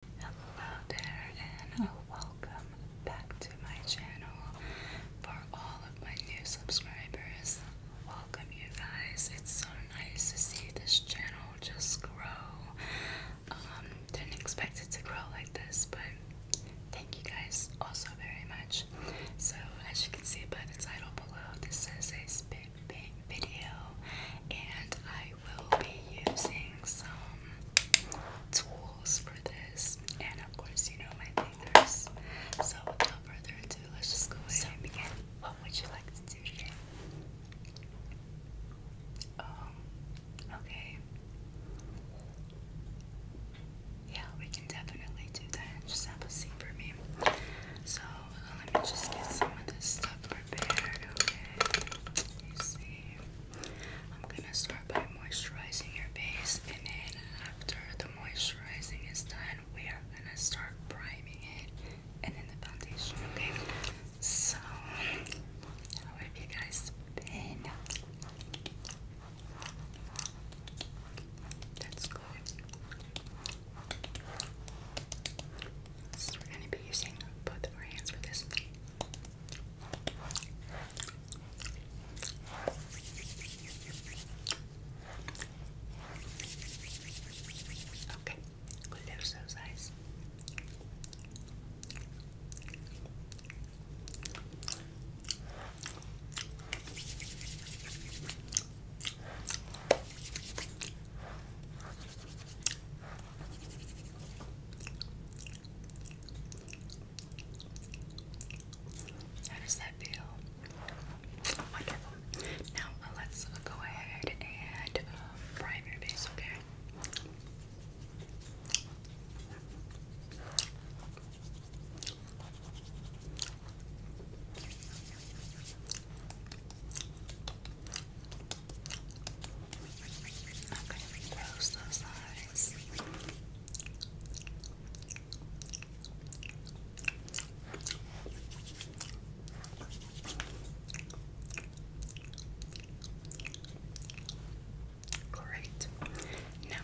Hello there and welcome back to my channel. For all of my new subscribers, welcome you guys. It's so nice to see this channel just grow. Um, didn't expect it to grow like this, but thank you guys also very much. So as you can see by the title below, this is a spit paint video and I I will be using some tools for this, and of course, you know my fingers. So, without further ado, let's just go ahead so, and begin. What would you like to do today? Um, okay. Yeah, we can definitely do that. Just have a seat for me. So, uh, let me just get some of this stuff prepared, okay? You see. I'm gonna start by moisturizing your face, and then after the moisturizing is done, we are gonna start priming it and then the foundation, okay? So, how have you guys been? That's good we're going to be using both of our hands for this. Okay, close those eyes. Okay, how does that feel? Wonderful. Now uh, let's go ahead and prime uh, your base, Okay, I'm going to close those eyes. Great. Now,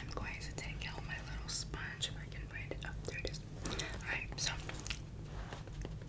I'm going to take out my little sponge if I can find it up. there it is. Alright, so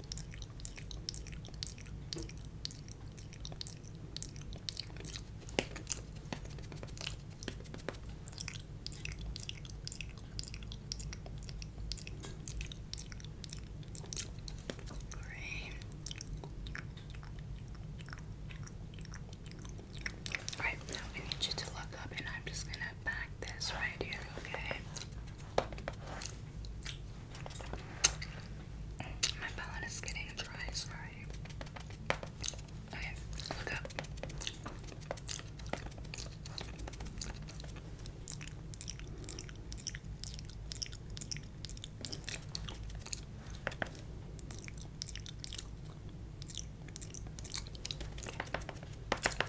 Green. Right now, we need you to look up, and I'm just gonna back this right here, okay? My palate is getting dry, sorry. Okay, look up.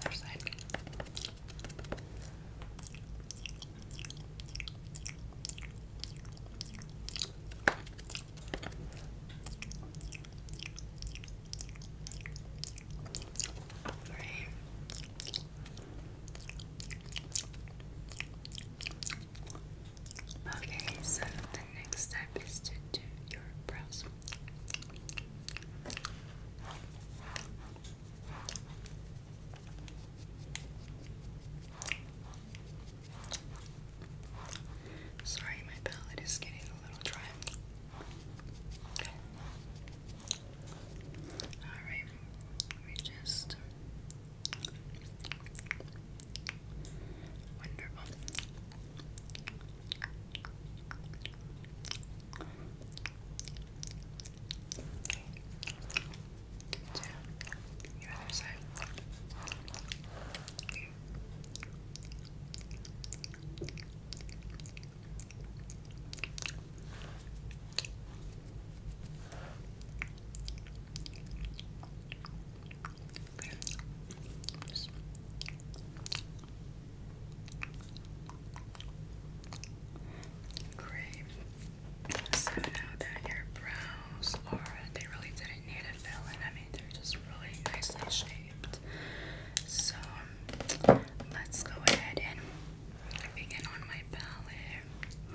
Other side. Right. Okay, so the next step is to do your brows. Sorry, my palate is getting a little dry. Okay. Alright, let just. Wonderful to your other side. Okay. Just. Great. So now that your brows are, they really didn't need a fill I mean, they're just really nicely shaped. So um, let's go ahead and begin on my palette.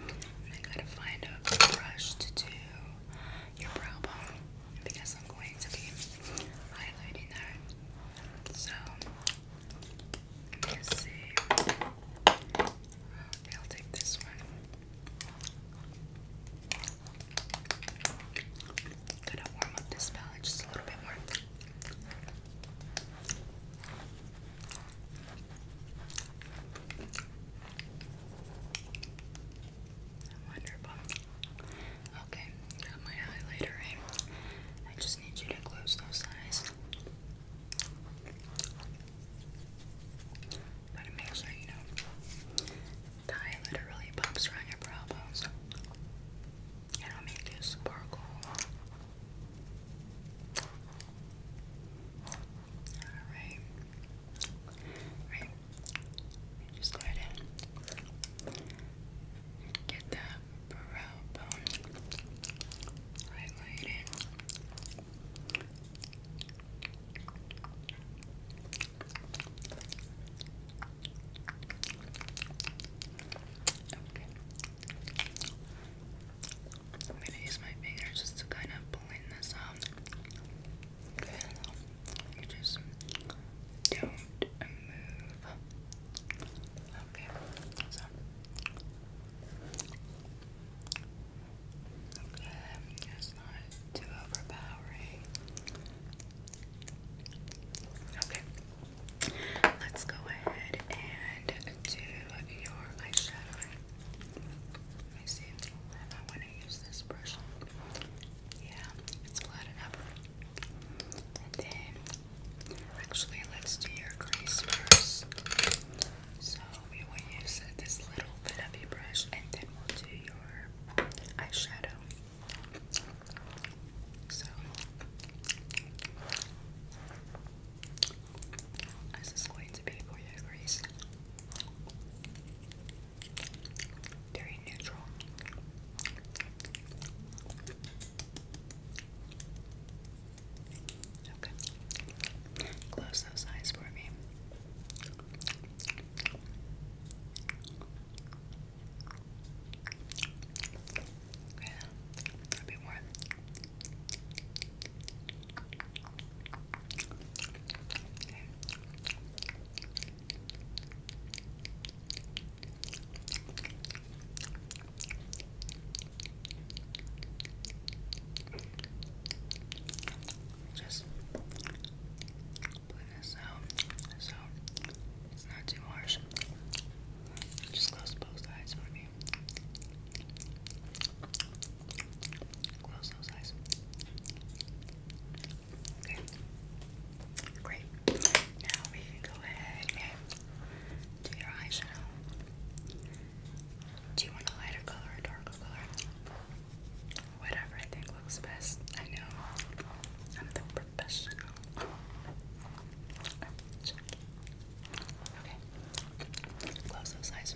And I gotta find a brush to do your brow bone because I'm going to be highlighting that. So Let's see. I'll take this one. Gonna warm up this palette just a little bit more. Wonderful. Okay, got my highlighter in. I just need you to close those eyes. But it makes sure you know the highlighter really pops around your brow bones. It'll make you sparkle. Alright. Alright. Just go ahead and get that brow I'm going to use my fingers just to kind of blend this out. you just don't move. Okay, so. Okay, it's not too overpowering. Okay, let's go ahead and do your eyeshadow. Let me see if I want to use this brush. Yeah, it's flat enough then, actually, let's do your crease first. So, we will use this little fluffy brush and then we'll do your eyeshadow. So, this is going to be for your crease. Very neutral. Okay. Close those eyes for me. Okay, a bit more. Just put this out so it's not too harsh. Just close both sides for me. Close those eyes. Okay. Great. Now we can go ahead to your eyeshadow. Do you want a lighter color, or a darker color? Whatever I think looks best. I know I'm the professional. Okay, close those eyes.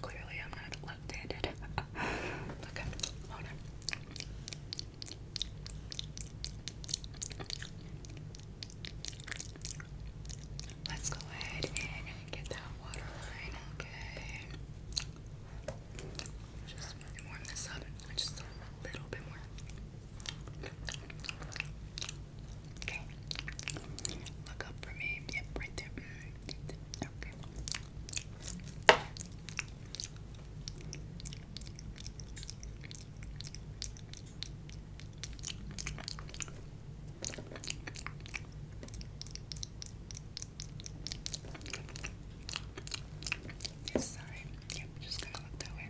Clearly, I'm not left-handed. okay, hold Let's go ahead and get that water okay? Just warm this up. Just a little bit more. Okay. Look up for me. Yep, right there. Mm. Okay. This side. Yep, just gonna look that way.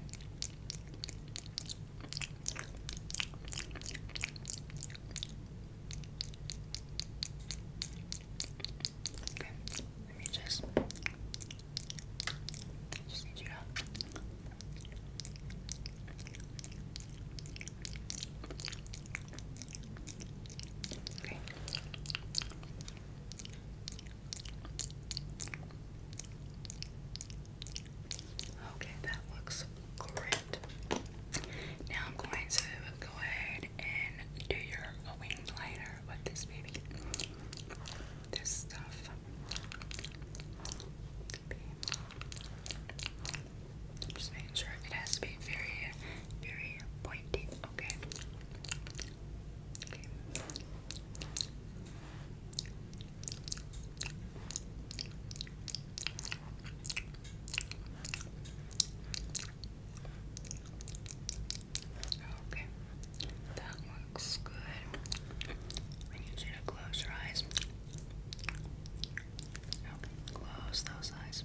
Okay, let me just just you to Okay. that looks great. Now I'm going to go ahead and do your wing liner with this baby. This stuff. I'm just making sure it has to be very, very pointy, okay? Okay. that looks good. I need you to close your eyes. close those eyes.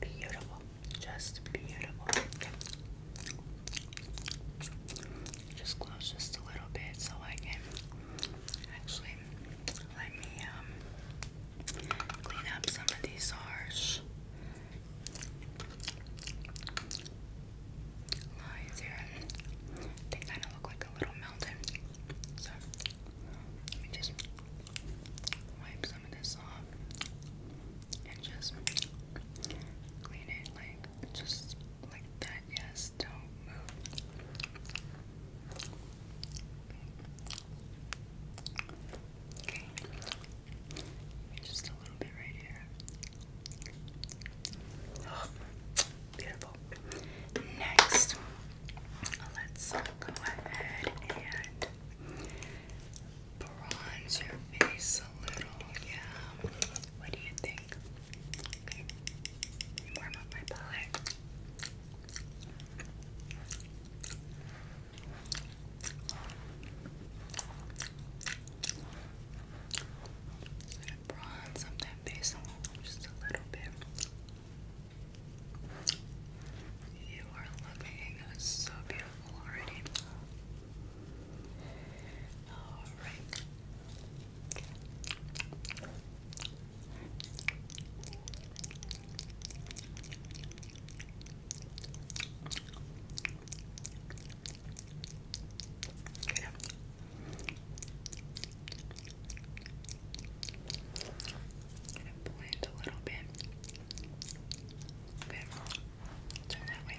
Beautiful, just beautiful. Just close just a little bit so I can actually let me um clean up some of these harsh lines here. They kind of look like a little mountain. So let me just wipe some of this off and just clean it like just like that. Yes, don't move. Okay. Just a little bit right here. Beautiful. Next, let's go ahead and bronze your face a little. Yeah. What do you think? Warm up my palette. I'm gonna bronze up just a little bit. You are looking so beautiful already. Alright. Okay. Gonna blend a little bit. Okay, turn that way.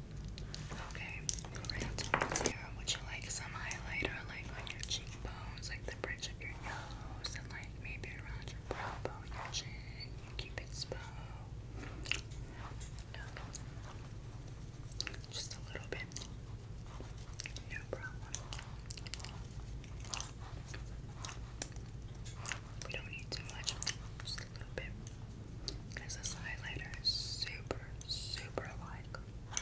Okay, so here, would you like some highlighter like on your cheekbones, like the bridge of your nose, and like maybe around your brow bone, your chin? Keep it slow. No. Just a little bit. No problem. We don't need too much. Just a little bit because this highlighter is super, super like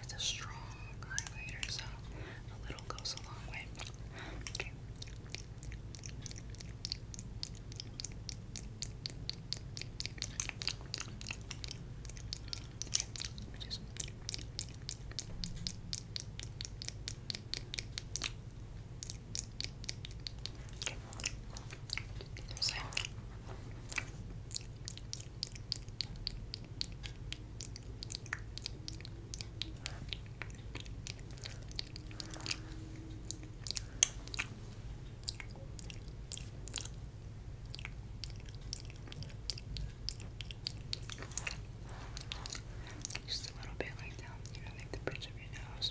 it's a strong highlighter, so a little goes a long way. Okay. Okay. Just a little bit like down, you know, like the bridge of your nose.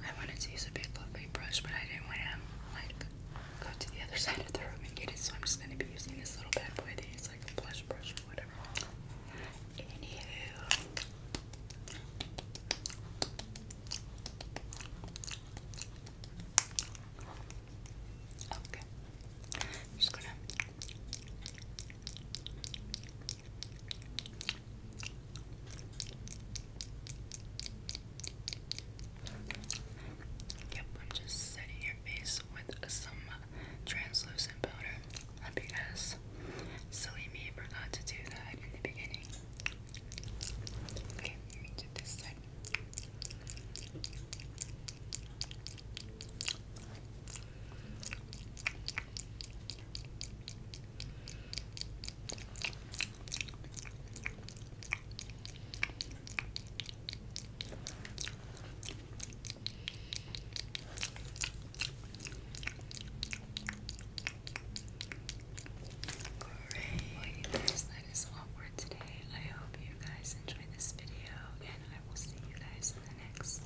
I wanted to use a big fluffy brush, but I didn't want to like go to the other side of the room and get it, so I'm just gonna be using this little bad boy thing. It's like a blush brush or whatever. Anywho. Okay. just gonna Yep, I'm just setting your face with some translucent powder because silly me forgot to do that in the beginning. Okay, let me side. Great. Guys, that is all today. I hope you guys enjoyed this video, and I will see you guys in the next.